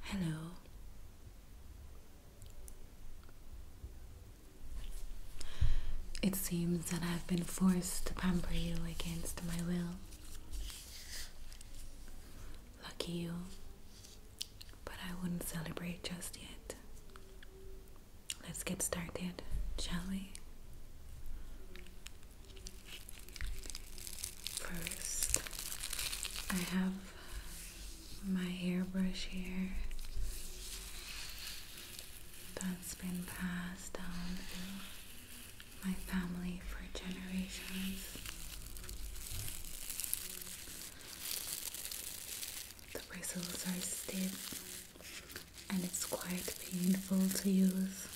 Hello. It seems that I've been forced to pamper you against my will. Lucky you, but I wouldn't celebrate just yet. Let's get started, shall we? First, I have my hairbrush here that's been passed down through my family for generations. The bristles are stiff and it's quite painful to use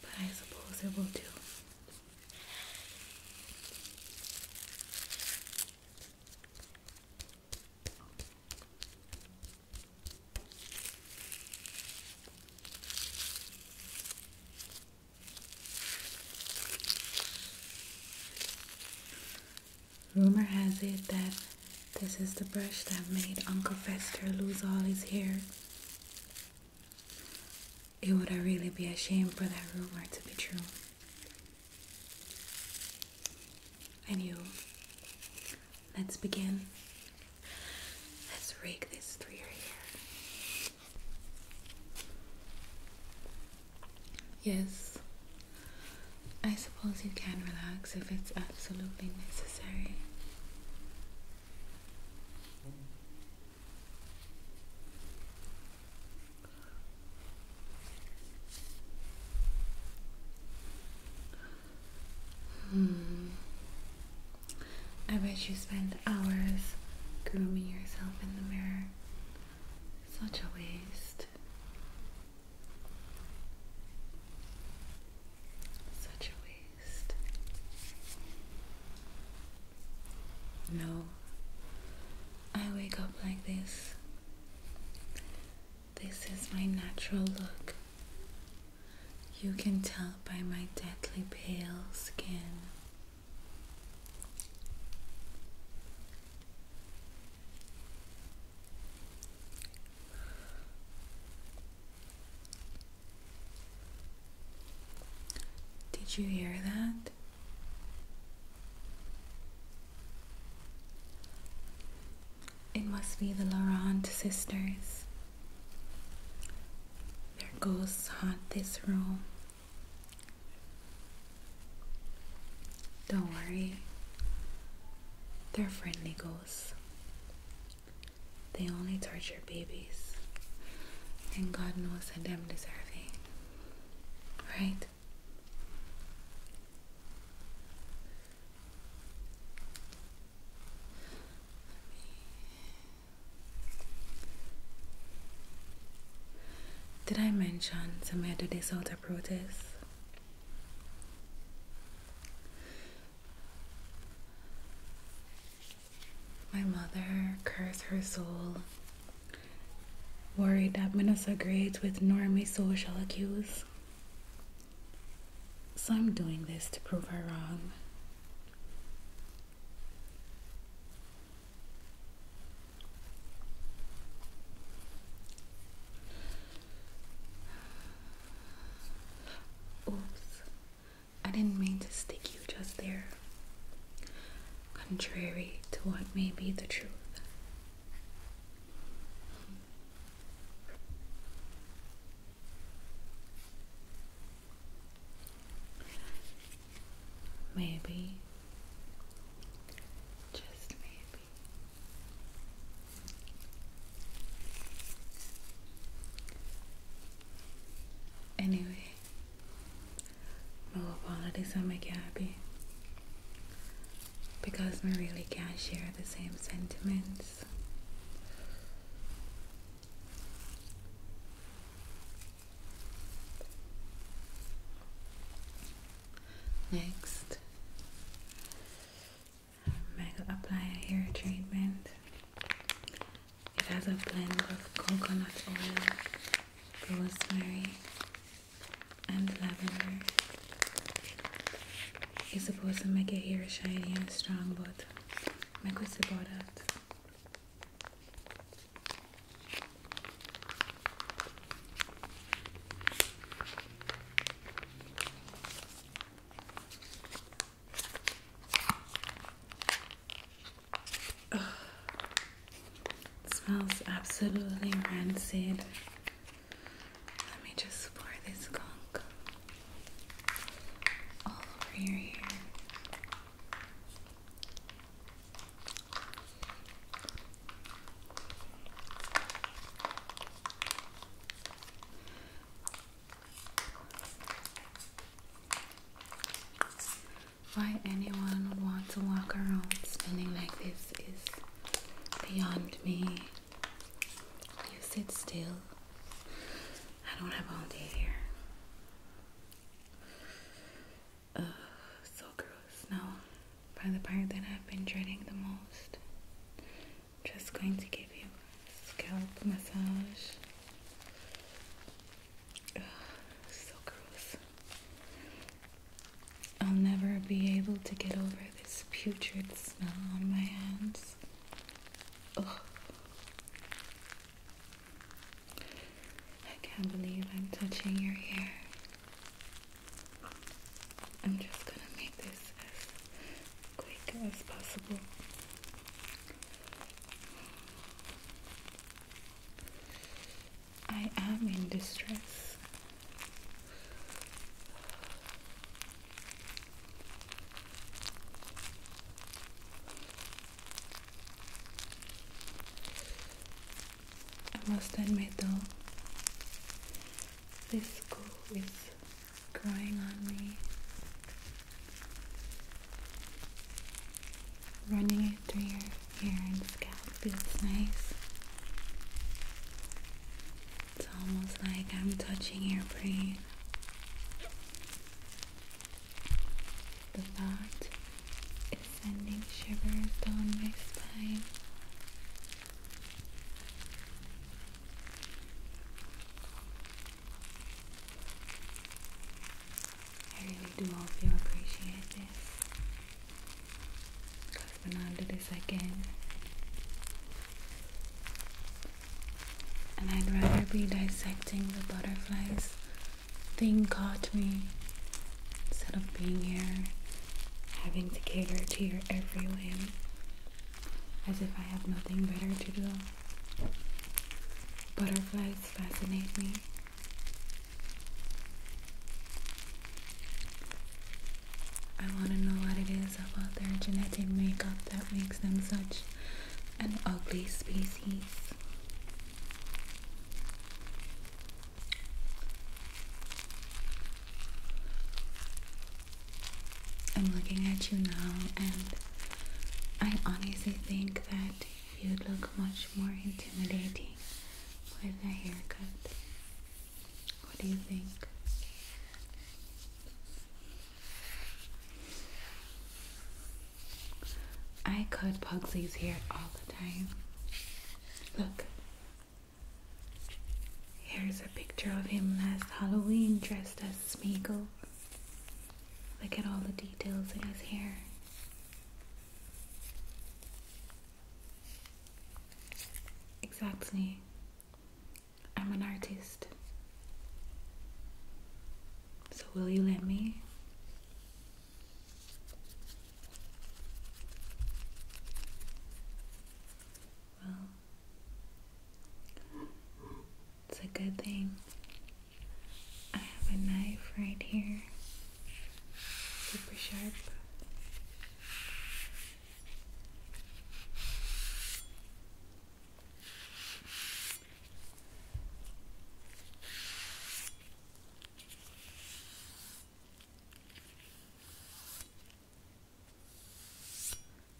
but I suppose it will do. Rumor has it that this is the brush that made Uncle Fester lose all his hair. It would really be a shame for that rumor to be true. And you, let's begin. Let's rake this through your hair. Yes, I suppose you can relax if it's absolutely necessary. Hmm. I bet you spend hours grooming yourself in the mirror. Such a waste. Such a waste. No, I wake up like this. This is my natural look. You can tell by my deadly pale skin. Did you hear that? It must be the Laurent sisters. Their ghosts haunt this room. Don't worry, they're friendly ghosts. They only torture babies. And God knows that them deserving. Right? Did I mention some did this out of protest? My mother, cursed her soul, worried that Minnesota grades with normie social cues. So I'm doing this to prove her wrong. Oops. I didn't mean to stick you just there, contrary to what may be the truth. Maybe, just maybe, Anyway, my apologies I make you happy because we really can't share the same sentiments. Next, I'm going to apply a hair treatment. It has a blend of coconut oil, rosemary, and lavender. It's supposed to make your hair shiny and strong, but I'm my sure about that. Ugh. smells absolutely rancid. Let me just pour this gunk all over your ear. Why anyone would want to walk around spinning like this is beyond me. You sit still. I don't have all day here. Ugh, so gross. Now, by the part that I've been dreading the most, just going to give you scalp massage. so gross. I'll never be able to get over this putrid smell on my hands. Ugh. I can't believe I'm touching your hair. I'm just gonna make this as quick as possible. I am in distress. I must admit though, this school is growing on me, running it through your hair and scalp feels nice. It's almost like I'm touching your brain. The thought is sending shivers down my spine. I really do hope you appreciate this. Because when I do this again, and I'd rather be dissecting the butterflies thing caught me instead of being here having to cater to your every whim as if I have nothing better to do. Butterflies fascinate me. I want to know what it is about their genetic makeup that makes them such an ugly species. I'm looking at you now and I honestly think that you'd look much more intimidating with a haircut. What do you think? I cut Pugsley's hair all the time. Look. Here's a picture of him last Halloween dressed as Smeagol. Look at all the details in his hair. Exactly. I'm an artist. So will you let me? Well, it's a good thing I have a knife right here, super sharp.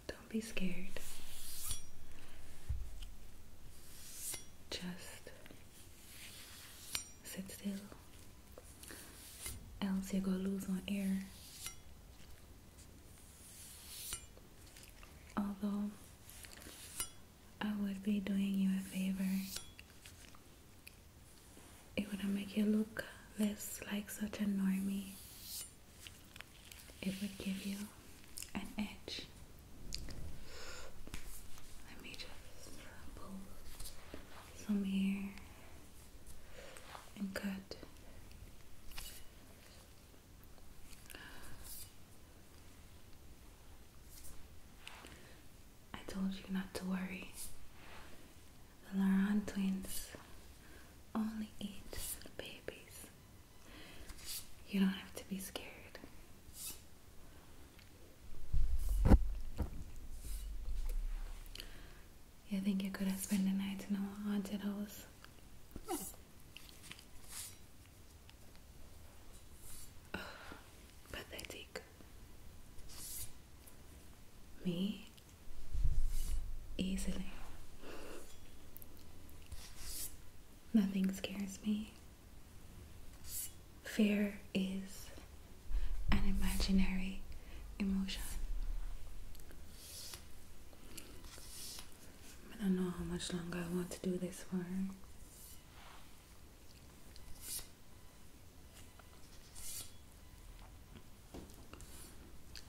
Don't be scared. Just sit still, else you're gonna lose on air. Although I would be doing you a favor, it would make you look less like such a normie it would give you an edge. Let me just pull some here and cut. I told you not to worry. The Laurent twins only eat babies you don't have to be scared. You think you could have spent the night in a haunted house? pathetic. Me? Easily. Nothing scares me. Fear is an imaginary emotion. I don't know how much longer I want to do this for.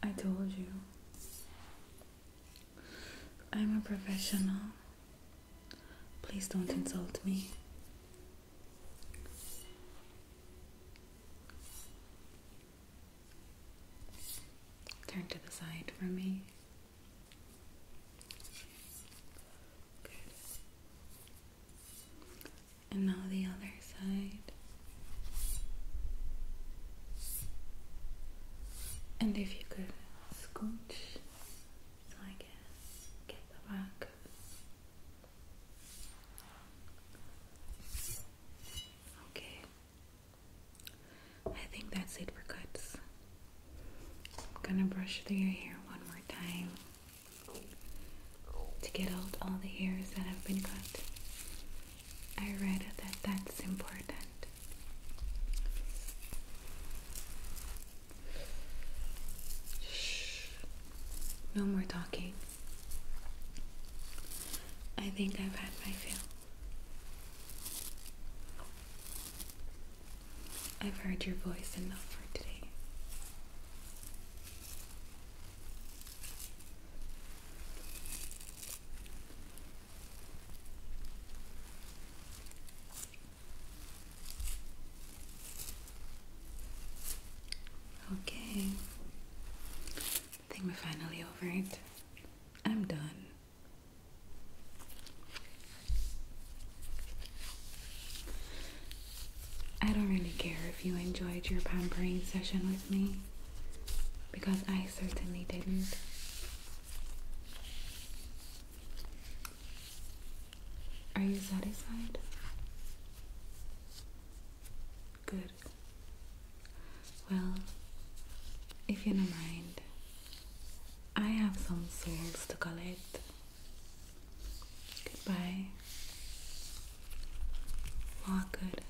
I told you I'm a professional. Please don't insult me. Turn to the side for me. And now the other side. And if you could scooch I can get the back. Okay. I think that's it for cuts. I'm gonna brush through your hair one more time to get out all the hairs that have been cut. I read that that's important no more talking. I think I've had my fill. I've heard your voice enough for today. Okay. I think we're finally over it. I'm done. I don't really care if you enjoyed your pampering session with me because I certainly didn't. Are you satisfied? Good. Well, if you don't mind, I have some souls to collect. Goodbye. Walk good.